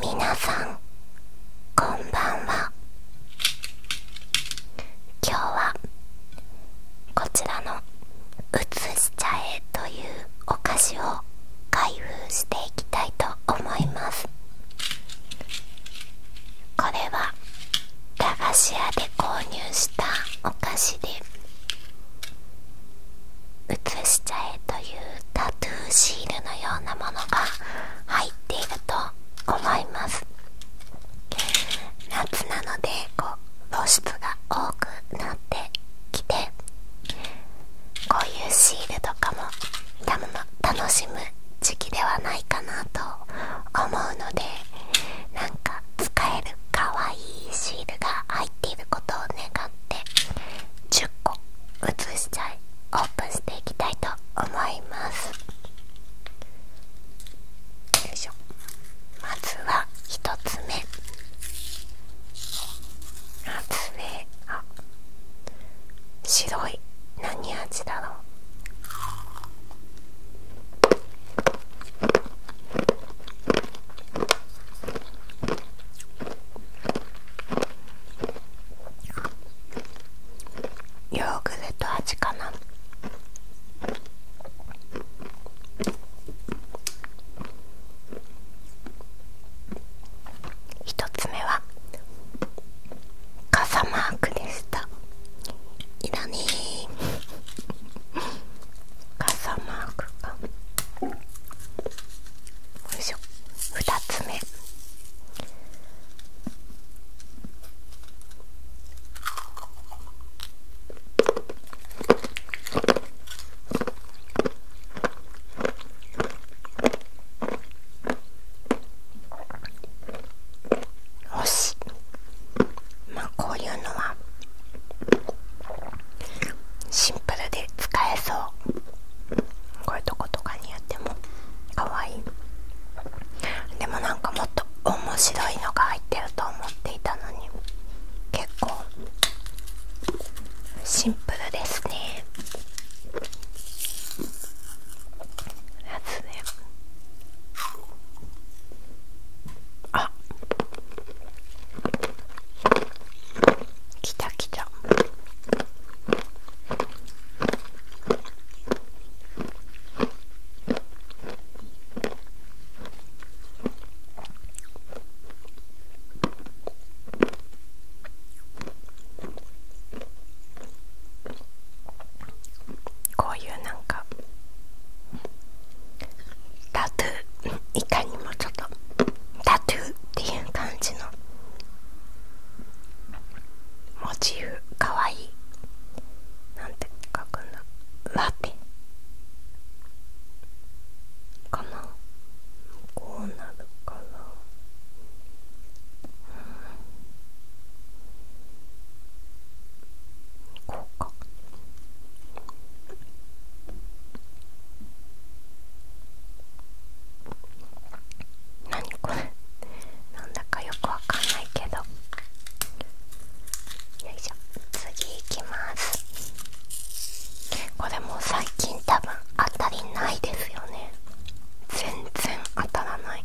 皆さんこんばんは今日はこちらの「うつし茶え」というお菓子を開封していきたいと思いますこれは駄菓子屋で購入したお菓子で写しちゃえというタトゥーシールのようなものが入っていると思います夏なのでこう露出が多くなってきてこういうシールとかも楽しむ時期ではないかなと思うのでなんか使えるかわいいシールが入っていることを願っっ10個移しちゃいオープンしていきたいと思いますまずは1つ目1つ目あ白い何味だろうヨーグルト味かな一つ目は傘マークでしたいらねえ。傘マークがよいしょ2つ目星まあこういうのはシンプルで使えそうこういうとことかにやってもかわいいでもなんかもっと面白いのが入ってると思っていたのに結構シンプルですねやつねあきたきたこういうなんかタトゥーいかにもちょっとタトゥーっていう感じのモチーフかわいいなんて書くんだラテかなこうなるかな、うん、こうか何これなんだかよくわかんないけどよいしょ次いきますこれもう最近多分当たりないですよね全然当たらない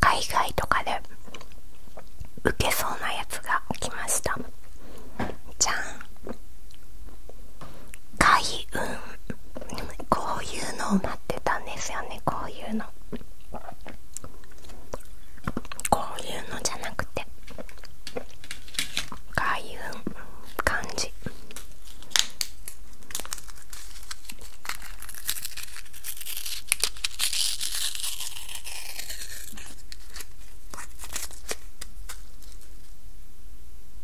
海外とかで受けそうなやつが来ましたじゃん開運こういうのを待ってたんですよねこういうのこういうのじゃなくて開運漢字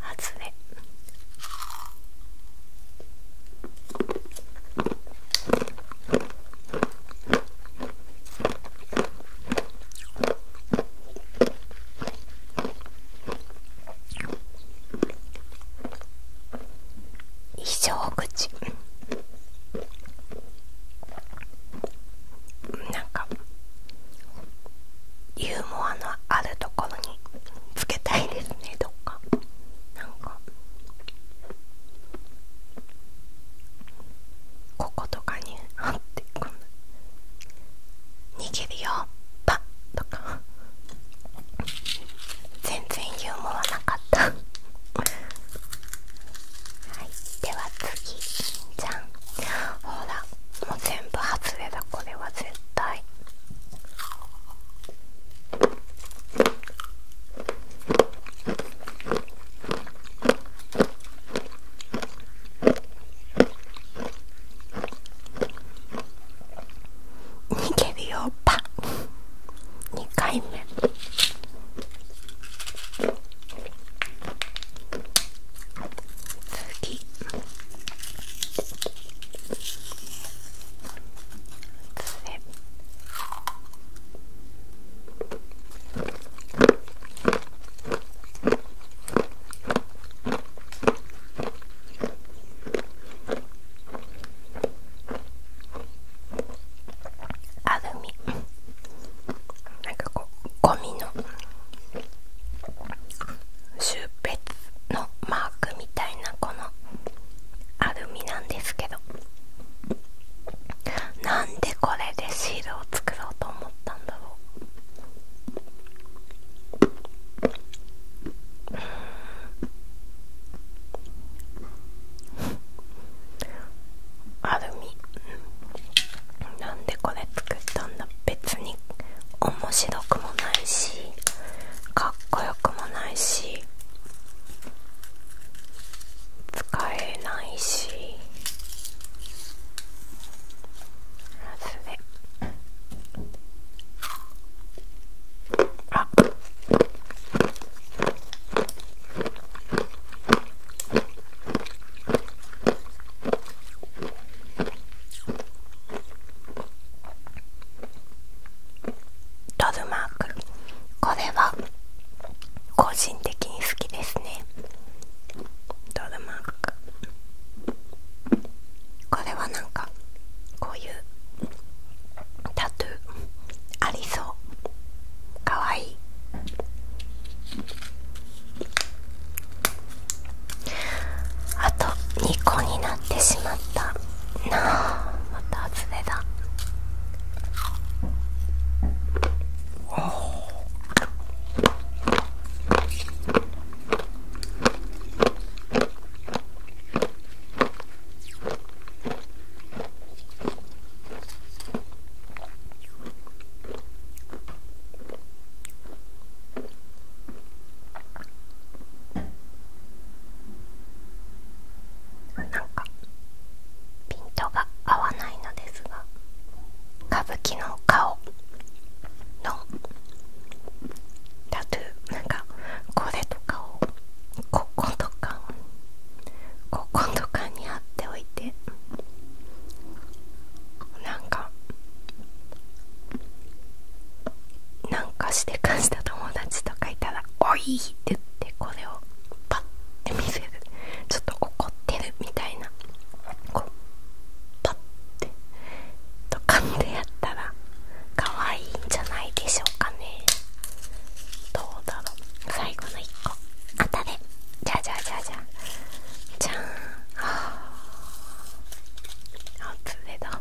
外れれ異口なんかユーモアのあるところにつけたいですねどっかなかこことかにあってこんな握るよパッとか全然ユーモアなかったはいでは次じゃんほらもう全部外れだこれは絶対逃げるよパン2回目次アルミなんかこうゴミのシューペッのマークみたいなこのアルミなんですけどなんでこれでシールを作ろうと思ったんだろううん。アルミなんでこれ作ったんだ別に面白くもないしかっこよくもないし使えないし外れあロルマークこれは個人的に好きですねロルマークこれは何かこういうタトゥーありそうかわいいあと2個になってしまったなあまた外れだなんかピントが合わないのですが歌舞伎の顔のタトゥーなんかこれとかをこことかこことかに貼っておいてなんかなんかして感じた友達とかいたら「おい!」って言ってこれをパッて見せるちょっと怒ってるみたいなこうパッてとかんでやったら可愛いんじゃないでしょうかねどうだろう最後の1個当たれじゃじゃじゃじゃじゃーんあつれだ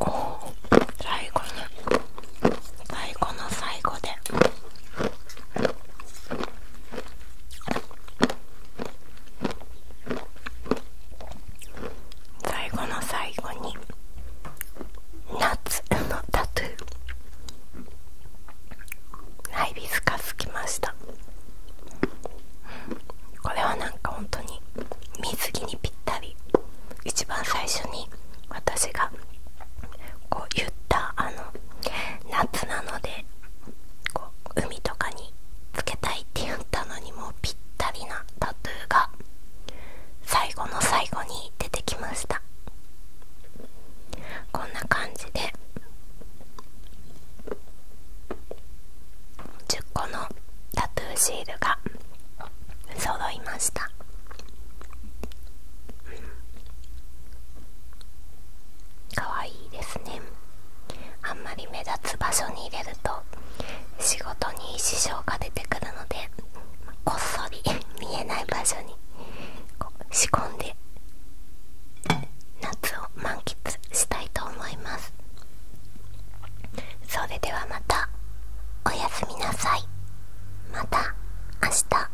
おお最後の最後の最後で最後の最後に夏 のタトゥーハイビスカスきましたこれはなんか本当に水着にぴったり一番最初に私がこう言ったあの夏なので海とかにつけたいって言ったのにもぴったりなタトゥーが最後の最後に出てきましたこんな感じで10個のタトゥーシールが揃いましたかわいいですねあんまり目立つ場所に入れると仕事に支障が出てくるのでこっそり 見えない場所に仕込んで夏を満喫したいと思いますそれではまたおやすみなさいまた明日